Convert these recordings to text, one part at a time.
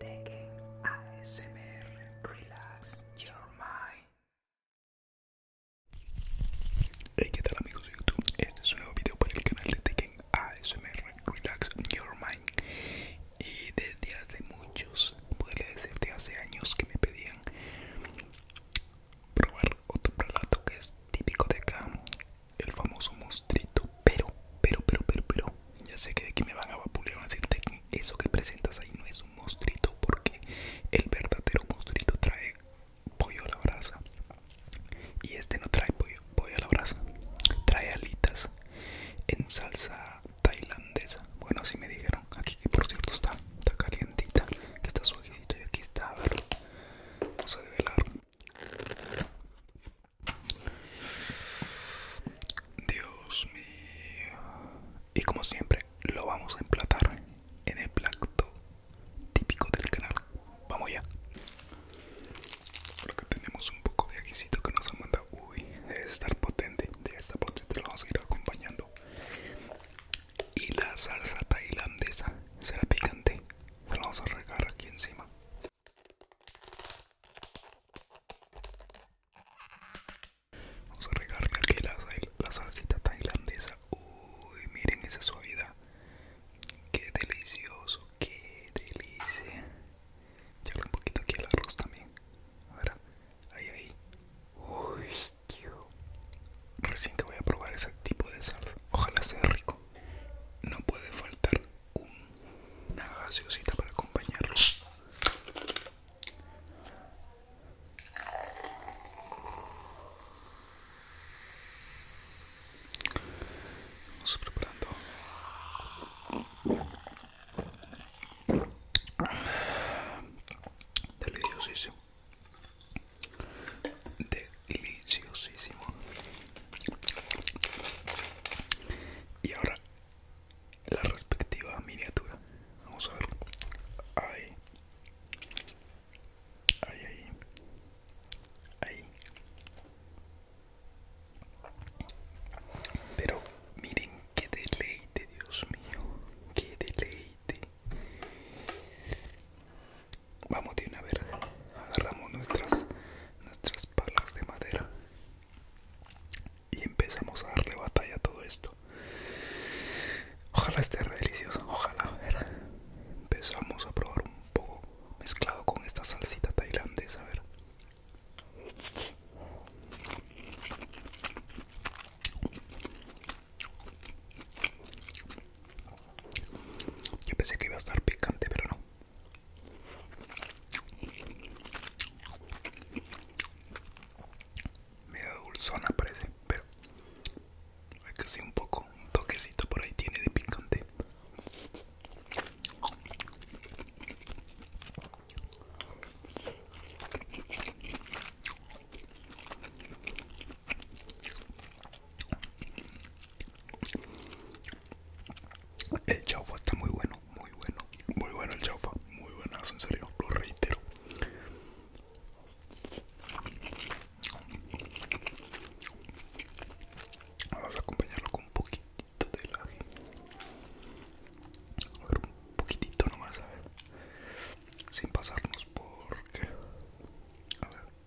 ASMR Relax Your Mind. Hey, ¿qué tal amigos de YouTube? Este es un nuevo video para el canal de Tekken ASMR Relax Your Mind. Y desde hace muchos, podría decirte hace años que me pedían probar otro plato que es típico de acá el famoso mostrito, Pero, pero, pero, pero, pero, ya sé que de aquí me van a vapulear, van a decirte que eso que presentas ahí no es un mostrito porque el verdadero mostrito trae pollo a la brasa. Y este no trae pollo, pollo a la brasa, trae alitas en salsa tailandesa. Bueno, así me dijeron aquí, que por cierto está, está calientita, que está suavecito y aquí está, a ver, vamos a develar. Dios mío. Y como siempre, lo vamos a emplatar en el plato típico del canal. Vamos ya. Porque tenemos un poco de aquí que nos han mandado. Uy, debe estar potente. Debe estar potente. Lo vamos a ir acompañando. Y la salsa tailandesa será picante. Se la vamos a regar aquí encima. Vamos a regarle aquí la, salsita tailandesa. Uy, miren esa suavidad. Qué delicioso, qué delicia. Echarle un poquito aquí al arroz también. A ahí, ahí. Uy, tío. Recién que voy a probar ese tipo de salsa. Ojalá sea rico. No puede faltar una gaseosita para acompañarlo. Vamos preparando. Deliciosísimo. De deliciosísimo. Y ahora la respectiva miniatura. Vamos a ver. Ahí. Ahí, ahí. Ahí. Pero miren qué deleite, Dios mío. Qué deleite. Vamos a a ver Agarramos nuestras, nuestras palas de madera y empezamos a darle batalla a todo esto. Ojalá esté delicioso, ojalá. A ver. Empezamos a probar un poco mezclado con esta salsita tailandesa. A ver. Yo pensé que iba a estar picante, pero no. da dulzona parece, pero hay que un poco, un toquecito por ahí tiene de picante. El chaufa está muy bueno, muy bueno, muy bueno el chaufa, muy buenazo, en serio, lo reitero. Vamos a acompañarlo con un poquitito de laje. A ver, un poquitito nomás, a ver. Sin pasarnos porque... A ver.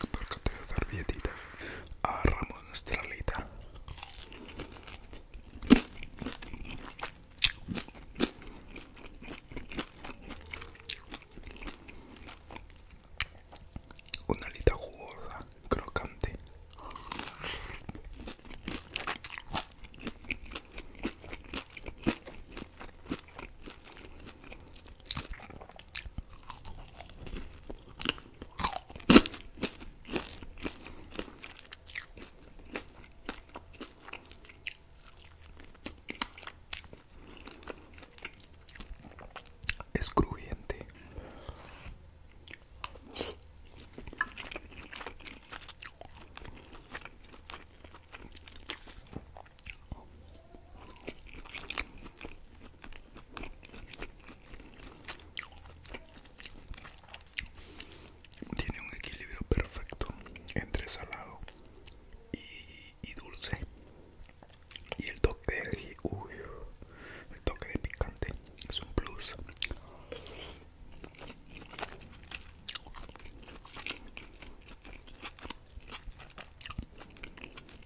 que carcata la servilletitas. Agarramos nuestra alita. Una alita jugosa, crocante. Es crujiente. Tiene un equilibrio perfecto entre salado y, dulce. Y el toque de el toque de picante es un plus.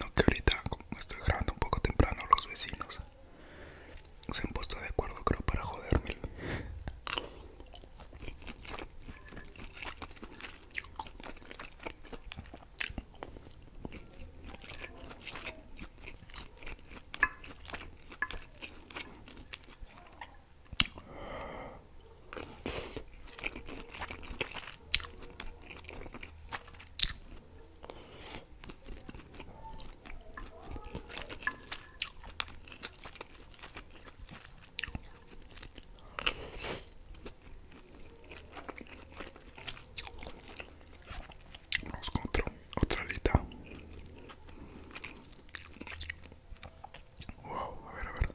No que ahorita, estoy grabando un poco temprano, los vecinos se han puesto de acuerdo, creo, para joderme. Vamos con otra alita. Wow, a ver, a ver.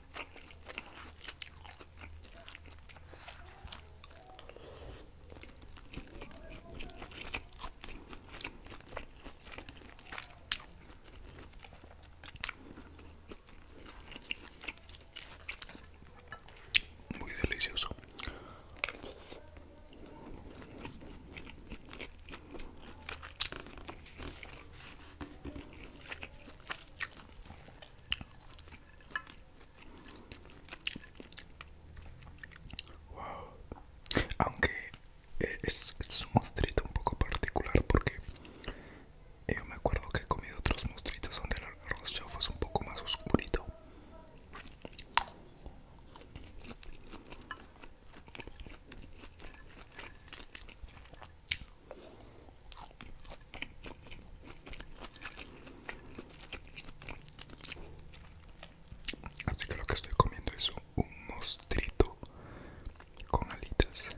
Muy delicioso. Wow. Aunque eh, es, un monstruito un poco particular porque yo me acuerdo que he comido otros monstruitos donde el arroz fue es un poco más oscurito. Así que lo que estoy comiendo es un mostrito con alitas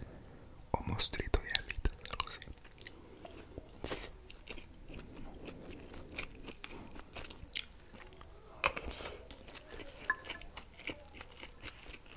o mostrito de alitas,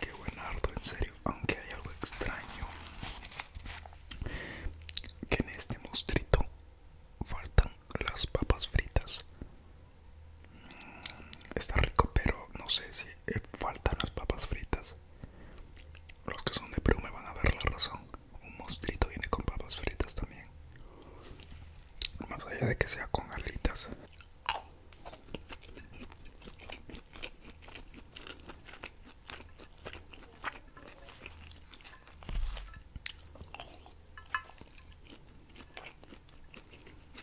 Qué buen ardo, en serio, aunque hay algo extraño que en este mostrito faltan las papas fritas. Mm, está rico, pero no sé si eh, faltan las papas fritas. Los que son de Perú me van a dar la razón. Un monstruito viene con papas fritas también. Más allá de que sea con alitas.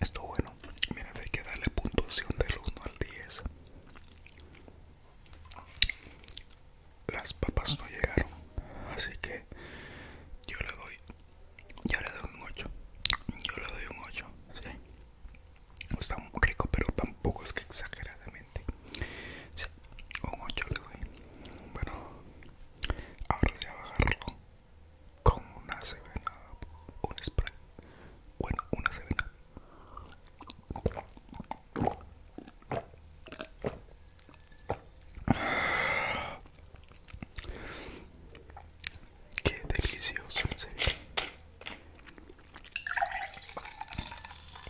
Esto bueno, miren, hay que darle puntuación del 1 al 10. Las papas no llegaron, así que yo le doy yo le doy un 8. Yo le doy un 8. ¿sí? Está muy rico, pero tampoco es que exageradamente. Un ocho le doy. Bueno, ahora voy a bajarlo con una sevena, un spray. Bueno, una sevena. Qué delicioso, en serio.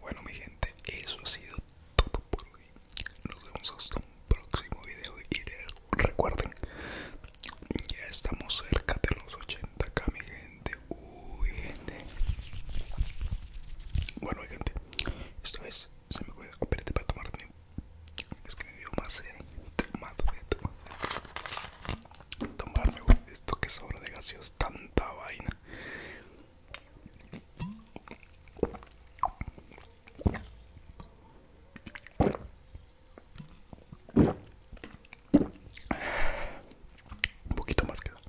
Bueno mi gente, eso ha sido todo por hoy. Nos vemos hasta un próximo video y recuerden, ya estamos cerca de los 80k mi gente. Uy gente. Bueno mi gente, esto es se me cuida, apriete para tomar tiempo. Es que me escribió más de tomarme esto que sobra de gaseos tanta vaina un poquito más queda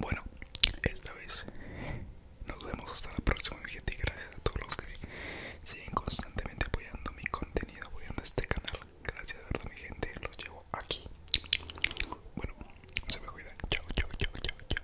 bueno, esta vez nos vemos hasta la próxima, mi gente. Y gracias a todos los que siguen constantemente apoyando mi contenido, apoyando este canal. Gracias de verdad, mi gente. Los llevo aquí. Bueno, se me cuidan. chao, chao, chao, chao.